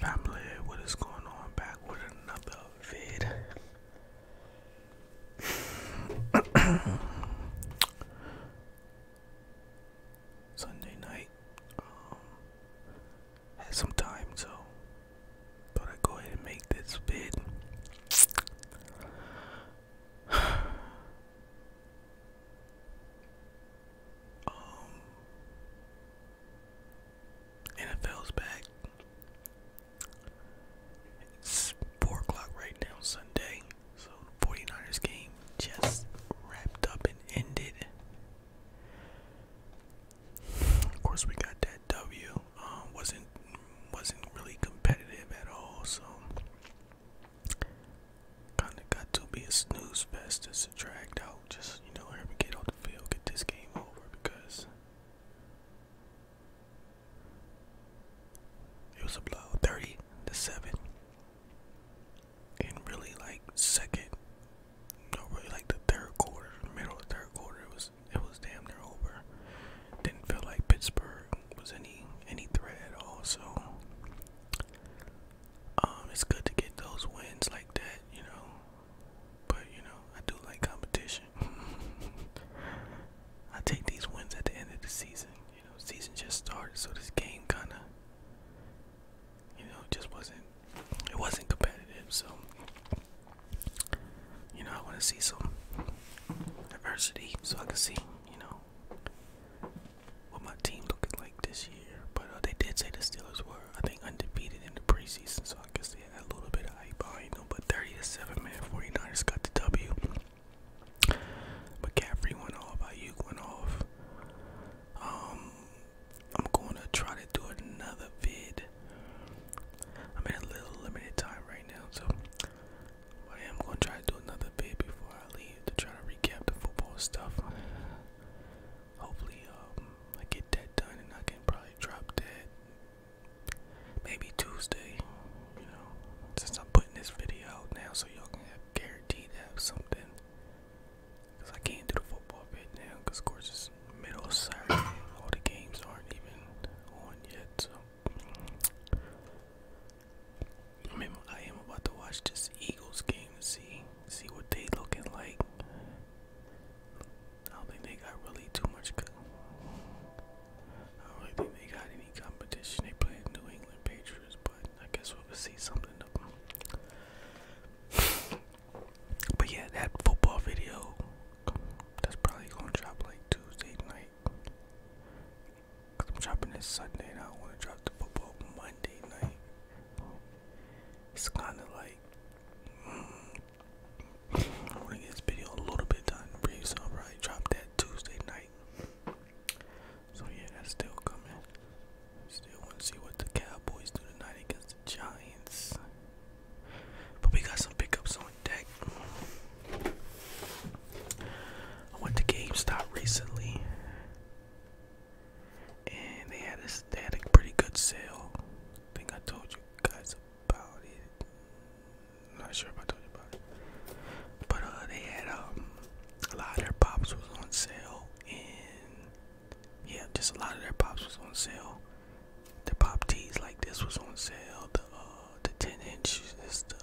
Family, what is going on? Back with another vid. Sunday night. Um, had some time, so thought I'd go ahead and make this vid. Um, NFL's back. It's 4 o'clock right now, Sunday. So 49ers game just wrapped up and ended. Of course, we got that W. Um, wasn't wasn't really competitive at all. So Kinda got to be a snooze fest. It's dragged out. Just you know, get off the field, get this game over because it was a blow, thirty to seven. And really, like second, Not really like the third quarter, middle of the third quarter, it was it was damn near over. Didn't feel like Pittsburgh was any any threat at all. So um, it's good to get those wins like that, you know. But you know, I do like competition. I take these wins at the end of the season. You know, season just started, so this game kind of, you know, just wasn't. It wasn't competitive, so you know, I want to see some adversity so I can see you know, what my team looking like this year. But uh, they did say the Steelers were, I think, undefeated in the preseason, so I guess they had a little bit of hype behind them. But 30 to 7, man, 49ers got the W. McCaffrey went off, Ayuk went off. Um, I'm going to try to do another vid. I'm in a little limited time right now, so I am gonna try to do another bit before I leave to try to recap the football stuff. Hopefully, um, I get that done and I can probably drop that maybe Tuesday. You know, since I'm putting this video out now, so y'all can have guaranteed to have something. Cause I can't do the football bit now, cause of course it's middle of summer. All the games aren't even on yet, so I am about to watch this Eagles game to see see what they looking like. I don't think they got really too much. I don't think they got any competition. They play New England Patriots, but I guess we'll see something but yeah, that football video that's probably gonna like Tuesday night. Cause I'm dropping this Sunday and I want to drop the football Monday night. It's kind of like mm, I want to get this video a little bit done for you, so I'll probably drop that Tuesday night. So yeah, that's still coming. Still want to see what the Cowboys do tonight against the Giants. But we got some pickups on deck. I went to GameStop recently, and they had this. They had a pretty good sale. I think I told you guys about it. not sure if I told you about it, but uh, they had um a lot of their pops was on sale, and yeah, just a lot of their pops was on sale. The pop tees like this was on sale. The uh, the 10 inches, is the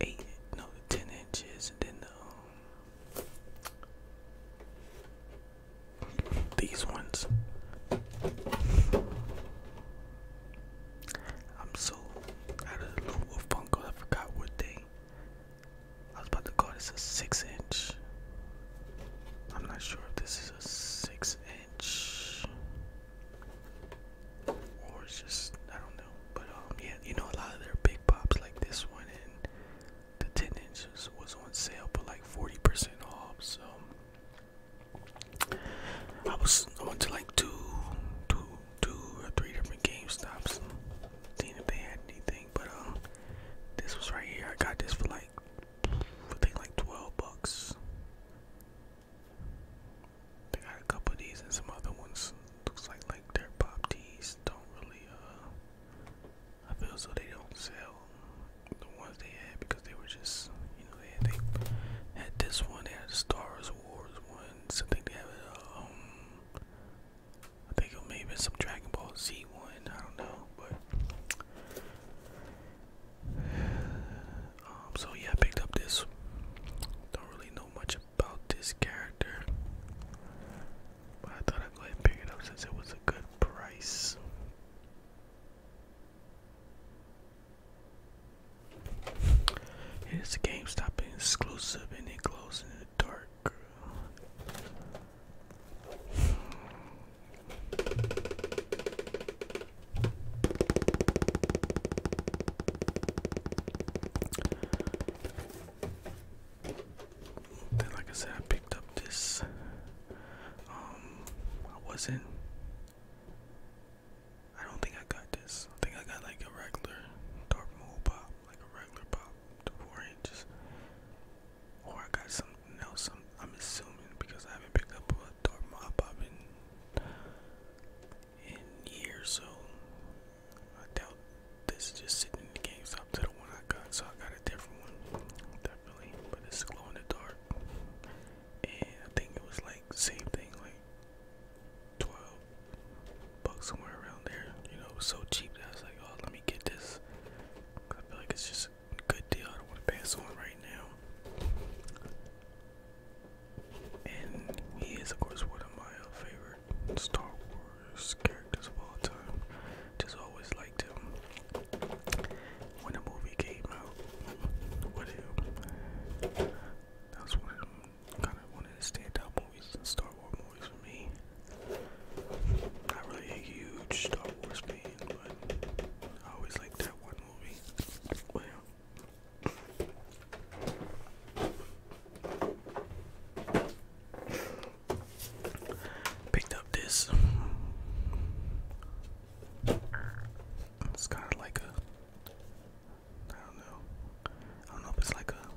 8 no the 10 inches and then the, um, these ones I'm so out of the loop with Funko I forgot what they I was about to call this a 6 inch I'm not sure if this is a 6 inch or it's just I don't know. But um yeah, you know a lot of their big pops like this one and the ten inches was on sale for like forty percent off, so I was I went to like two two two or three different GameStops and seeing if they had anything, but um this was right here. I got this for like I think like twelve bucks. They got a couple of these and some other ones. Looks like like their pop teas don't really uh I feel so they don't sell the ones they had because they were just you know they had, they had this one, they had the Star Wars ones, I think they had uh, um I think it may have been some Dragon Ball Z one, I don't know, but um, so yeah, I picked up this. Don't really know much about this character, but I thought I'd go ahead and pick it up since it was a good price. It is a GameStop exclusive and it glows in the dark. Then, like I said, I picked up this. Um, I wasn't. I don't think I got this. I think I got like a regular dark mode pop, like a regular pop, the four inches, or I got something else. I'm, I'm assuming because I haven't picked up tore my pop in in years, so I doubt this is just sitting in the GameStop to the one I got, so I got a different one, definitely. But it's glow in the dark, and I think it was like same thing, like twelve bucks somewhere around there. You know, so cheap that I was like, oh, let me get this. I feel like it's just good deal. I don't want to pass on right now. And he is, of course, one of my uh, favorite Star Wars characters of all time. Just always liked him. When a movie came out with him, that was one of them, kind of one standout movies, Star Wars movies for me. Not really a huge Star Wars fan, but I always like that one movie. Well, Picked up this. It's kind of like a. I don't know. I don't know if it's like a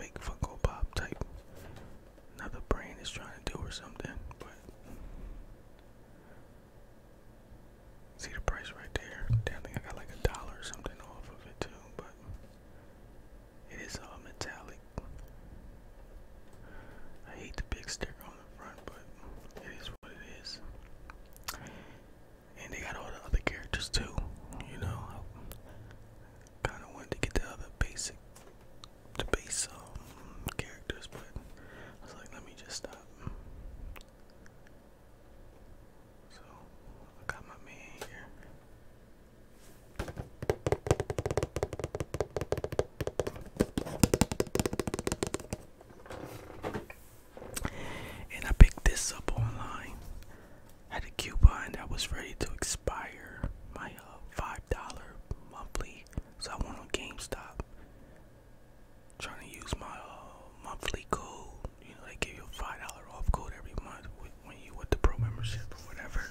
fake Funko Pop type. Another brain is trying to do or something, but See the price right there. Damn, I got like a dollar something off of it too, but it is all uh, metallic. I hate the big sticker on the front, but it is what it is. And they got all the other characters too, you know. kinda wanted to get the other basic the base um, characters, but I was like, let me just stop. So I got my man here. And I picked this up online at a coupon that was ready to expire my uh, $5 monthly. So I went on GameStop trying to use my uh, monthly code. You know, they give you a five dollar off code every month with, when you with the pro membership or whatever.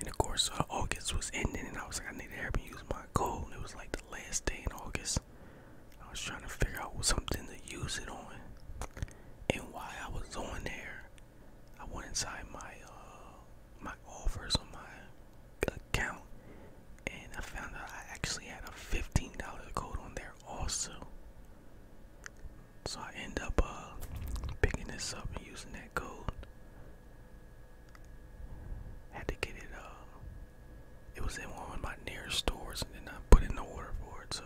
And of course, uh, August was ending, and I was like, I need to help me use my code. And it was like the last day in August. I was trying to figure out something to use it on. And while I was on there, I went inside my uh, my offers on my account and I found out I actually had a $15 code on there also. So I end up uh, picking this up and using that code. Had to get it, uh, it was in one of my nearest stores and then I put in the order for it. So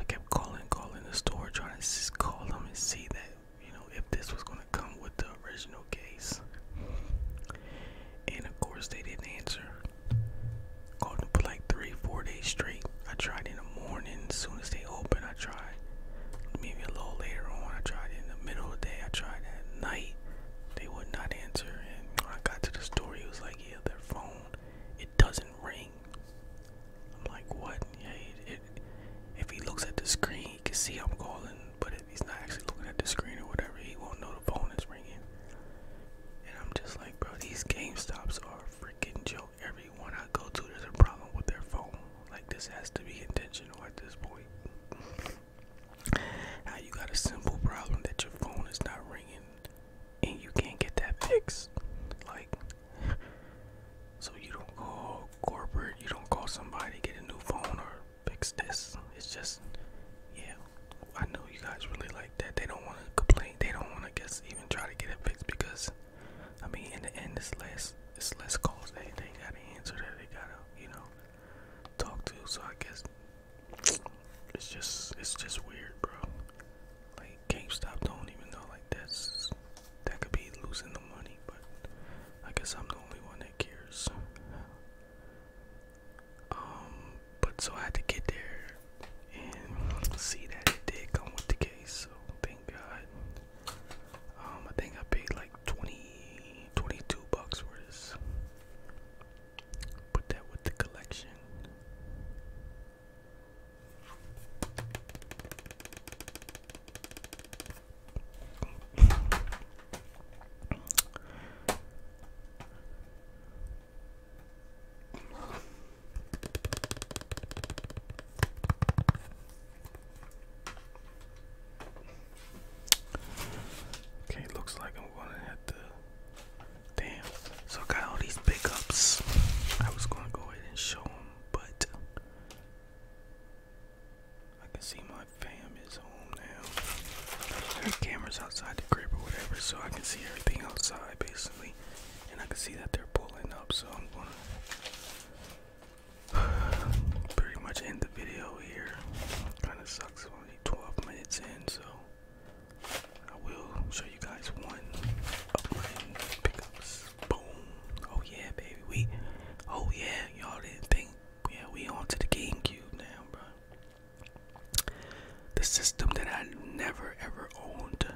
I kept calling, calling the store, trying to call them and see that you know, if this was gonna come with the original case. And of course they didn't answer. Called them for like three, four days straight. I tried in the morning, as soon as they opened, I tried. Maybe a little later on, I tried in the middle of the day, I tried at night. They would not answer and when I got to the store he was like, Yeah, their phone, it doesn't ring. I'm like, what? Yeah, if he looks at the screen, he can see I'm calling, but he's not actually looking at the screen or whatever, he won't know the phone is ringing. And I'm just like, bro, these Game Stops are a freaking joke. Everyone I go to, there's a problem with their phone. Like, this has to be intentional at this point. How you got a simple problem that your phone is not ringing and you can't get that fixed? Like, so you don't call corporate, you don't call somebody to get a new phone or fix this. It's just, yeah, I know you guys really like that. They don't want to complain. They don't want to guess even try to get it fixed because, I mean, in the end, it's less, it's less calls. They they gotta answer that. They gotta, you know, talk to. So I guess it's just, it's just weird, bro. Like GameStop don't even know like that's that could be losing the money, but I guess I'm the only one that cares. Um, but so I had to get there and see that it did come with the case, so thank God. Um, I think I paid like 20, bucks for this. Put that with the collection. Okay, looks like I'm gonna have to. Damn. So I got all these pickups. I was gonna go ahead and show them, but I can see my fam is home now. There cameras outside the crib or whatever, so I can see everything outside basically. And I can see that they're pulling up, so I'm gonna pretty much end the video here. Kinda sucks, only 12 minutes in, so I will show you guys one of my pickups. Boom. Oh yeah, baby. We oh yeah, y'all didn't think yeah, we on to the GameCube now, bro. The system that I never ever owned.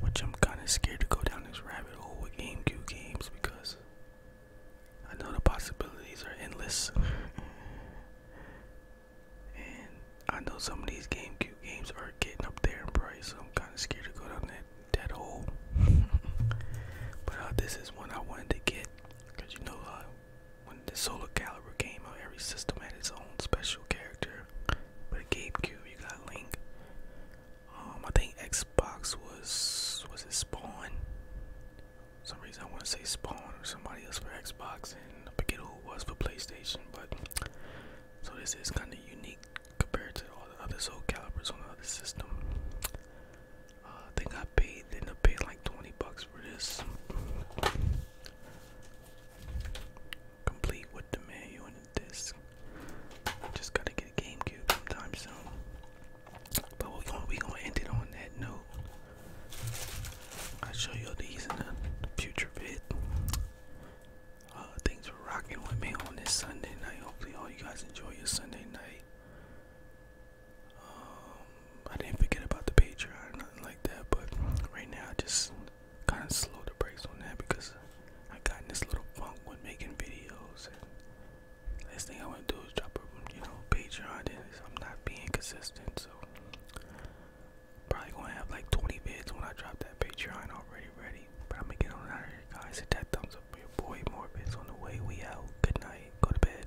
Which I'm kinda scared to go down this rabbit hole with GameCube games because I know the possibilities are endless. and I know some of these GameCube games are getting up there in price, so I'm kinda scared to go down that that old. but uh, this is one I wanted to get because you know uh, when the Solar Calibur came out, every system had its own special character. But a GameCube, you got Link. Um, I think Xbox was was it Spawn? some reason I want to say Spawn or somebody else for Xbox, and I forget who it was for PlayStation. But so this is kind of unique compared to all the other Soul Calibers on the other system. Uh, I think I paid, ended up paying like 20 bucks for this. Complete with the manual and the disc. Just gotta get a GameCube sometime soon. But we're gonna, we going to end it on that note. I'll show you these in the future vid. Uh, thanks for rocking with me on this Sunday night. Hopefully, all you guys enjoy your Sunday night. Um, I didn't forget about the Patreon or nothing like that, but right now I just kind of slow the brakes on that because I got in this little funk when making videos. And last thing I want to do is drop a you know Patreon, I'm not being consistent, so probably gonna have like 20 vids when I drop that Patreon already ready. But I'm gonna get on out of here, guys. Hit that thumbs up for your boy Morbius on the way. We out. Good night. Go to bed.